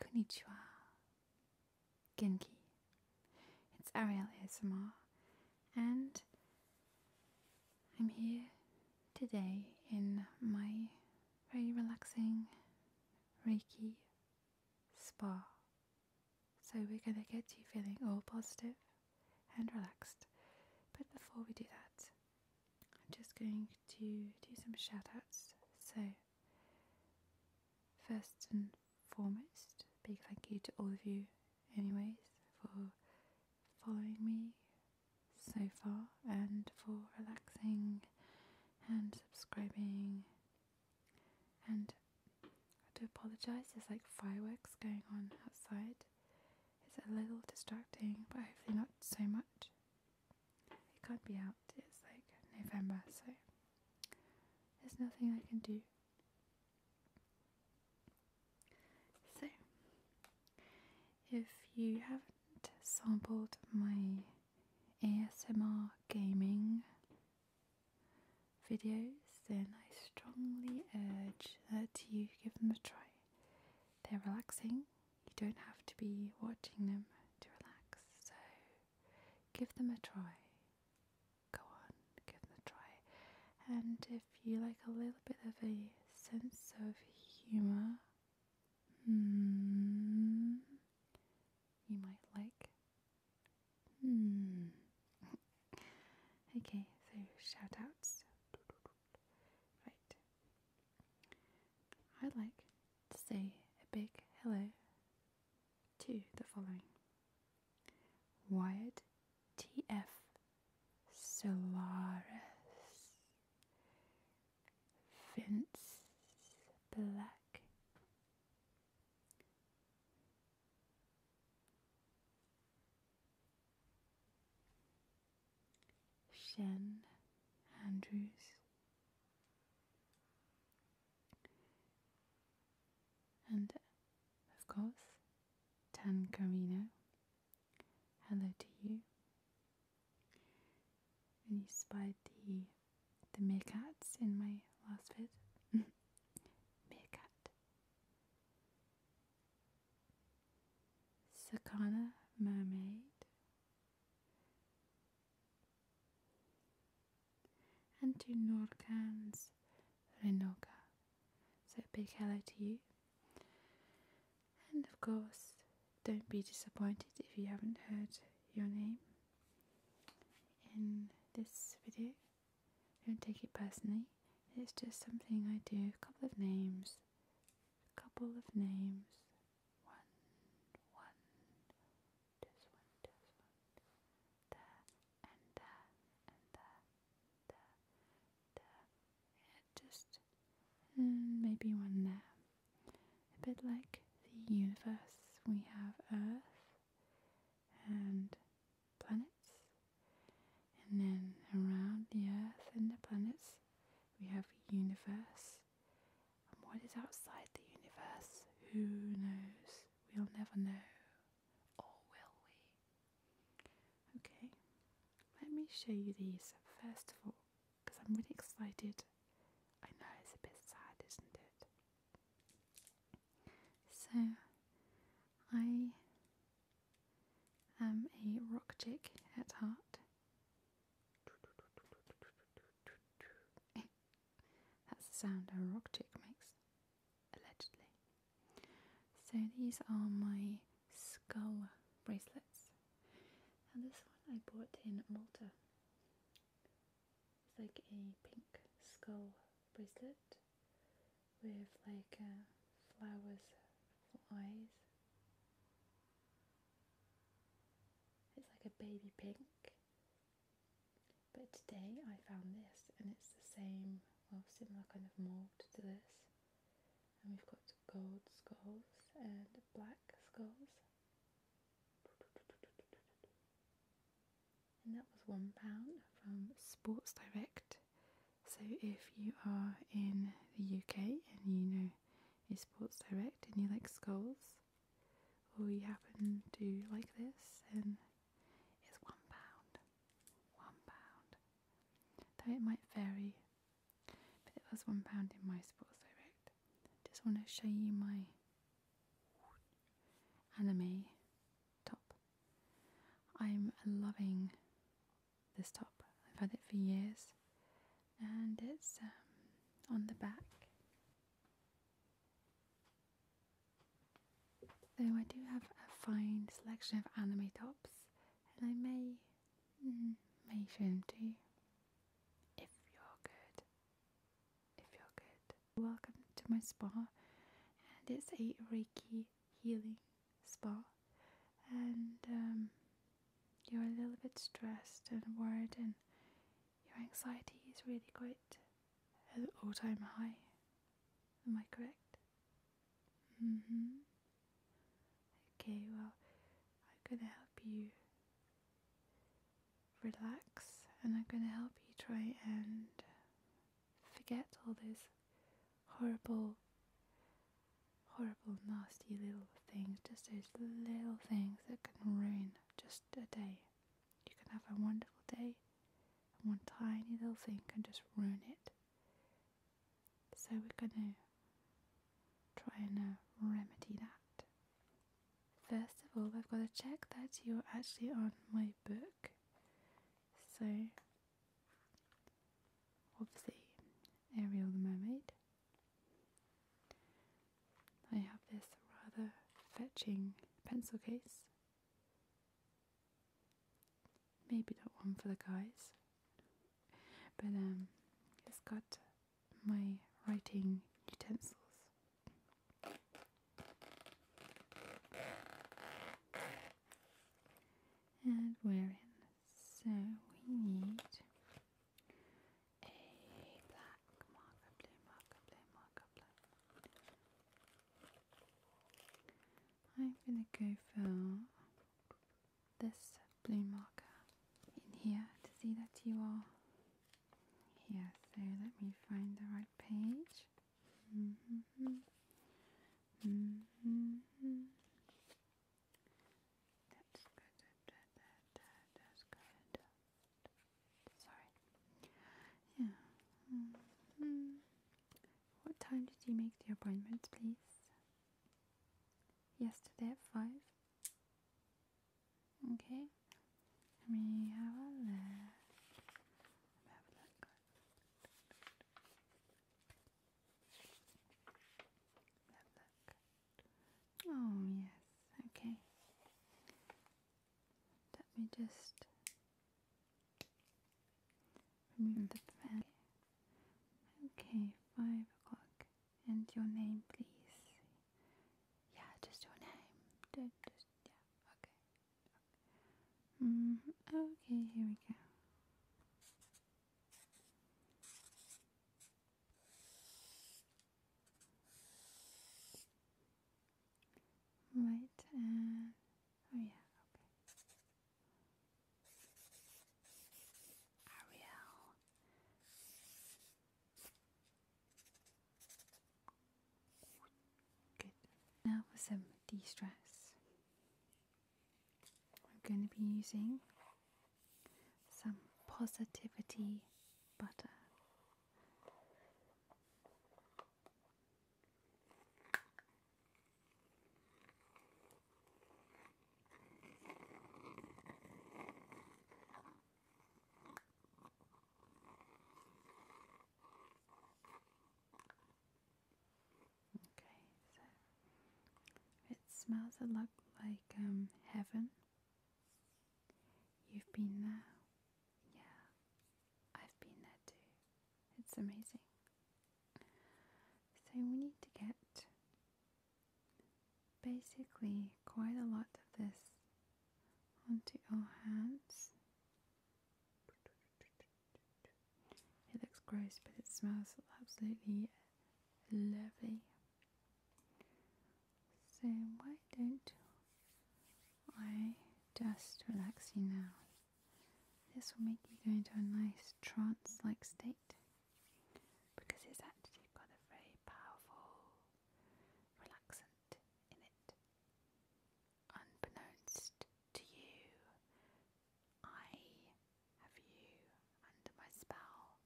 Konnichiwa. Genki. It's Ariel ASMR and I'm here today in my very relaxing Reiki spa. So we're going to get you feeling all positive and relaxed. But before we do that, I'm just going to do some shout outs. So, first and foremost, big thank you to all of you, anyways, for following me so far and for relaxing and subscribing. And I do apologise, there's like fireworks going on outside, it's a little distracting, but hopefully not so much. It can't be out, it's like November, so there's nothing I can do. So, if you haven't sampled my ASMR gaming videos, then I strongly urge that you give them a try. They're relaxing you don't have to be watching them to relax. So give them a try. Go on, give them a try. And if you like a little bit of a sense of humour, hmm, you might like. Hmm. okay, so shout outs. Right. I'd like to say a big hello to the following Wyatt TF Solaris, Vince Black, Shen Andrews. And of course, Tan Carino. Hello to you. And you spied the the meerkats in my last vid. meerkat. Sakana mermaid. And to Norgans Renoga, So big hello to you. And of course, don't be disappointed if you haven't heard your name in this video. Don't take it personally. It's just something I do, a couple of names a couple of names. One, one, this one, this one, there, and there, and there, there, there. Yeah, just mm, maybe one there. A bit like the universe, we have Earth and planets, and then around the Earth and the planets we have universe. And what is outside the universe? Who knows? We'll never know. Or will we? Okay, let me show you these first of all, because I'm really excited. I know it's a bit sad, isn't it? So, I am a rock chick at heart, That's the sound a rock chick makes, allegedly. So these are my skull bracelets. And this one I bought in Malta. It's like a pink skull bracelet with like uh, flowers for eyes it's like a baby pink. But today I found this and it's the same, well similar kind of mould to this. And we've got gold skulls and black skulls. And that was £1 from Sports Direct. So if you are in the UK and you know is Sports Direct and you like skulls, or you happen to like this, and it's £1. £1. Though it might vary, but it was £1 in my Sports Direct. Just want to show you my anime top. I'm loving this top. I've had it for years and it's um, on the back. So I do have a fine selection of anime tops and I may, mm, may show them to you if you're good. If you're good. Welcome to my spa and it's a Reiki healing spa and um, you're a little bit stressed and worried, and your anxiety is really quite at all time high. Am I correct? Mm hmm. Okay, well, I'm gonna help you relax and I'm gonna help you try and forget all those horrible horrible, nasty little things, just those little things that can ruin just a day. You can have a wonderful day, and one tiny little thing can just ruin it. So we're going to try and uh, remedy that. First of all, I've got to check that you're actually on my book. So, obviously, Ariel the Mermaid I have this rather fetching pencil case. Maybe not one for the guys, but um, it's got my writing utensils. And we're in, so we need a black marker, blue marker, blue marker, black I'm gonna go for this blue marker in here to see that you are here. So let me find the right page. Mm-hmm. Mm-hmm. That's good. That, that, that, that's good. Sorry. Yeah. -hmm. What time did you make the appointment, please? Yesterday at 5? Okay. Let me have a look. have a look. Oh, yes, okay. Let me just remove the fan. Okay, five o'clock. And your name, please. Yeah, just your name. yeah, okay. Mm, okay, here we go. Right oh yeah, okay. Ariel. Good. Now for some de-stress. I'm going to be using some positivity butter. Uh, okay, so it smells a lot like um, heaven You've been there? Yeah, I've been there too. It's amazing. So we need to get basically quite a lot of this onto our hands. It looks gross, but it smells absolutely lovely. So why don't I just relax you now? This will make you go into a nice trance-like state because it's actually got a very powerful relaxant in it. Unbeknownst to you, I have you under my spell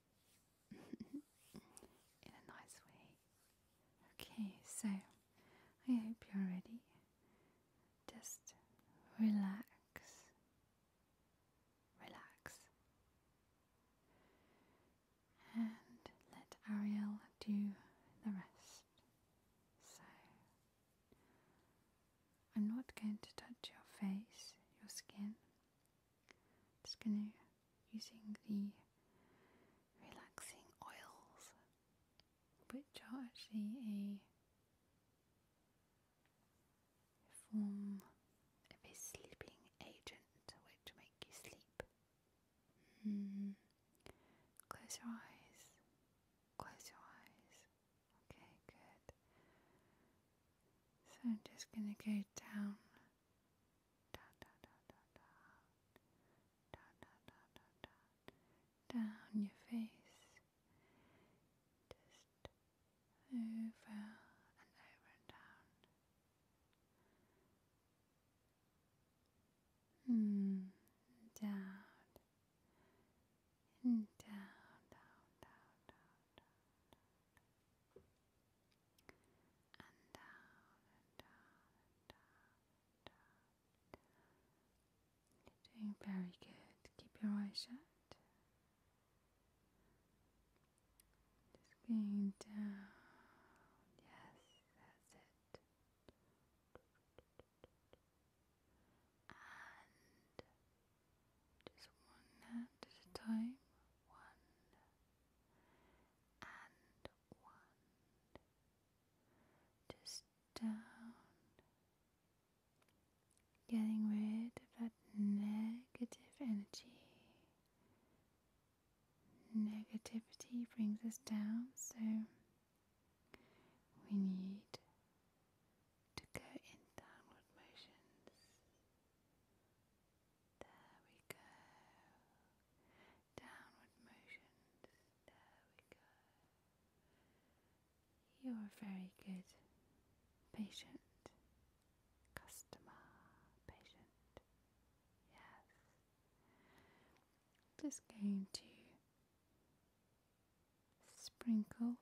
in a nice way. Okay, so I hope you're ready. Just relax, relax, and let Ariel do the rest. So I'm not going to touch your face, your skin. Just gonna using the relaxing oils, which are actually a form of a sleeping agent which make you sleep. Hmm. Close your eyes. Close your eyes. Okay, good. So I'm just gonna go down dot dot dot dot dot dot dot dot dot down your face just over and over and down mm, down down down down down down down and down and down and down and down. You're doing very good. Keep your eyes shut. Just going down. Yes, that's it. And just one hand at a time. One, and one, just down, getting rid of that negative energy. Negativity brings us down, so we need to go in downward motions. There we go. Downward motions. There we go. You're very good patient. Customer. Patient. Yes. Just going to sprinkle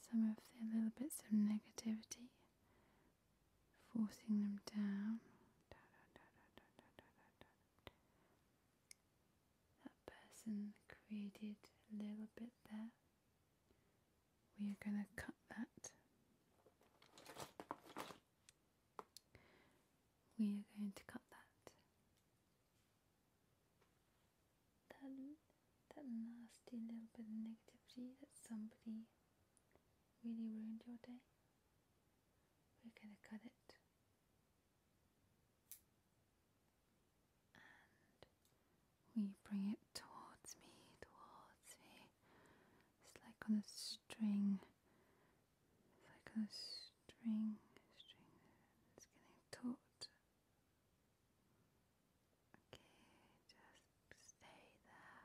some of the little bits of negativity, forcing them down. That person created a little bit there. We are going to cut that. We are going to cut that that nasty little bit of negativity that somebody really ruined your day. We're going to cut it. And we bring it towards me, towards me. It's like on a string. It's like a string, string. It's getting taut. Okay, just stay there.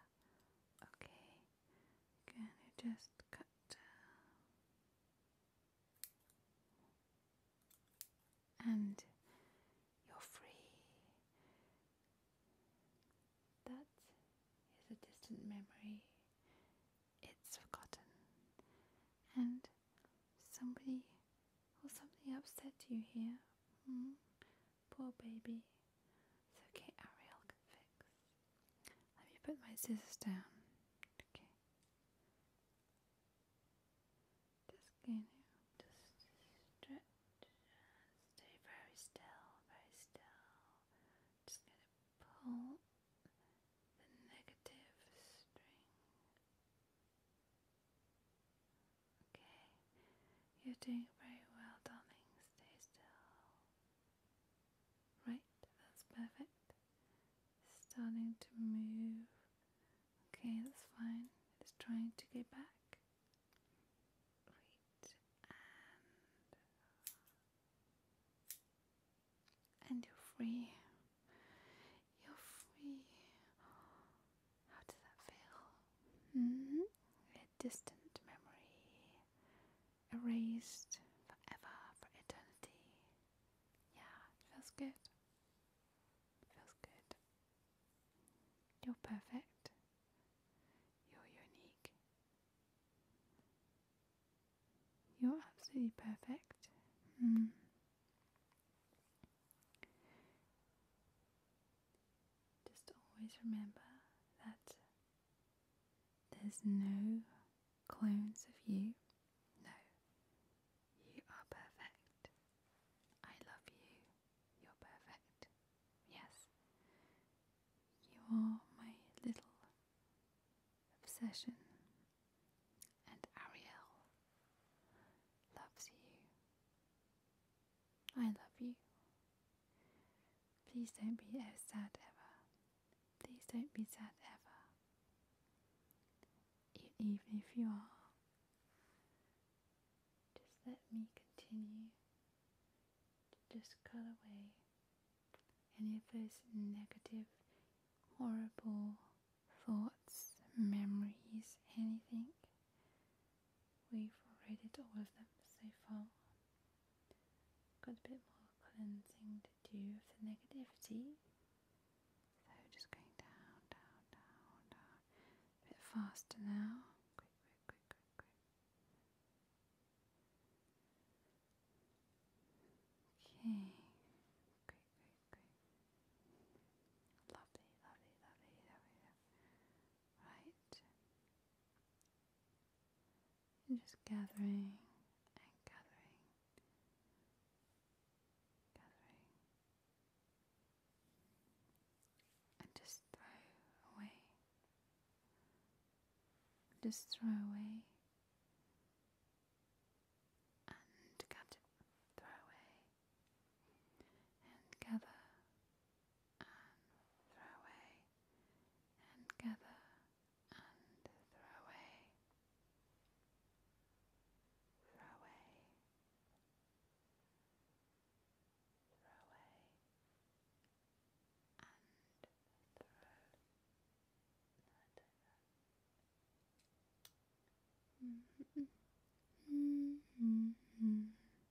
Okay, can you just cut And you're free. That is a distant memory. It's forgotten. And somebody or something upset you here. Hmm? Poor baby. It's okay, Ariel can fix. Let me put my scissors down. Okay. Just can you just stretch. Stay very still, very still. Just gonna pull the negative string. Okay, you're doing very well, darling. Stay still. Right, that's perfect. Starting to move. Okay, that's fine. It's trying to go back. Right, and. And you're free. You're free. How does that feel? Mm-hmm. A distant memory erased forever, for eternity. Yeah, feels good. feels good. You're perfect. You're unique. You're absolutely perfect. Hmm. Just always remember that there's no clones of you. No, you are perfect. I love you. You're perfect. Yes, you are my little obsession. And Ariel loves you. I love you. Please don't be ever sad ever. Please don't be sad ever. even if you are, just let me continue to just cut away any of those negative, horrible thoughts, memories, anything We've already all of them so far. Got a bit more cleansing to do with the negativity. So just going down, down, down, down. A bit faster now. Quick, quick, quick, quick, quick. Okay. Quick, quick, quick. lovely, lovely, lovely, lovely right? And just gathering and gathering, gathering, and just throw away, just throw away. And cut, throw away, and gather, and throw away and gather and throw away throw away throw away and throw no, I don't know.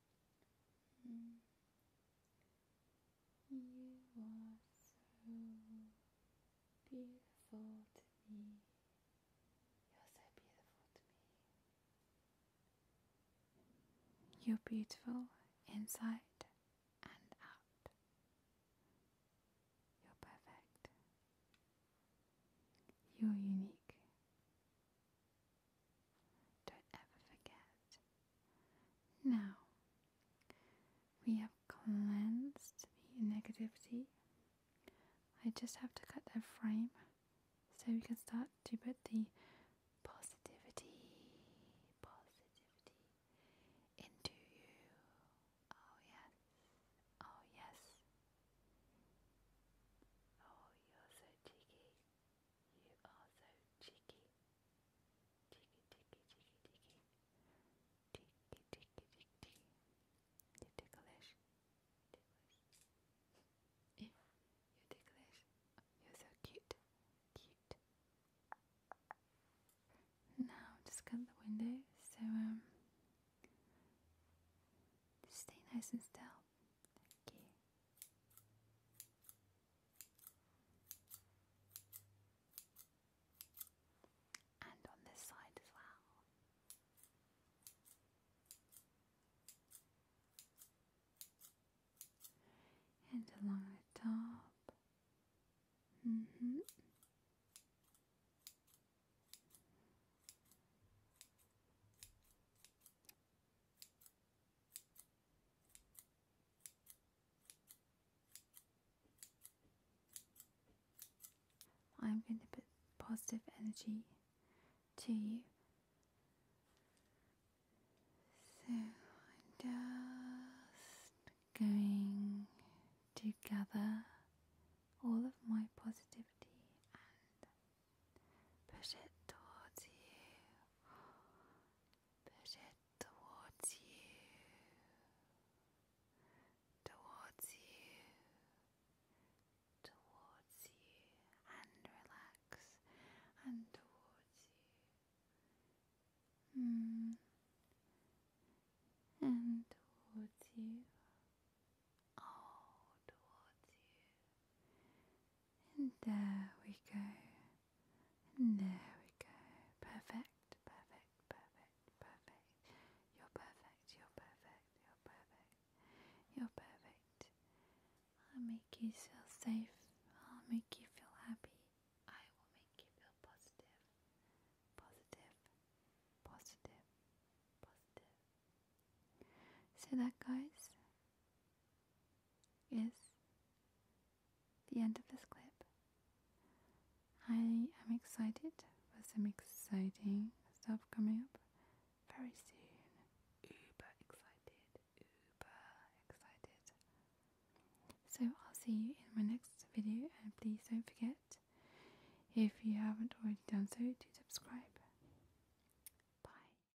You are so beautiful to me. You're so beautiful to me. You're beautiful inside and out. You're perfect. You're unique. Don't ever forget. Now, we have cleansed the negativity. I just have to cut the frame so we can start to put the positivity, positivity into you. Oh, yes. Oh, yes. Oh, you're so cheeky. You are so cheeky. Cheeky, cheeky, cheeky, cheeky. Cheeky, cheeky, cheeky, cheeky. You're ticklish. Ticklish. You're ticklish. You're so cute. Cute. Now, just cut the window, so, um, just stay nice and still. And on this side as well. And along the top. hmm. I'm going to put positive energy to you. So I'm just going to gather all of my positivity and Push it towards you. Push it towards you. Towards you. Towards you. And relax. And towards you. Mm. And towards you. Oh, towards you. And there we go. And there we go. Perfect, perfect, perfect, perfect. You're perfect, you're perfect, you're perfect. You're perfect. I'll make you feel safe. I'll make you feel happy. I will make you feel positive. Positive, positive, positive. See that, guys? is the end of this clip. I am excited for some exciting stuff coming up very soon. Uber excited, uber excited. So I'll see you in my next video and please don't forget if you haven't already done so to subscribe. Bye.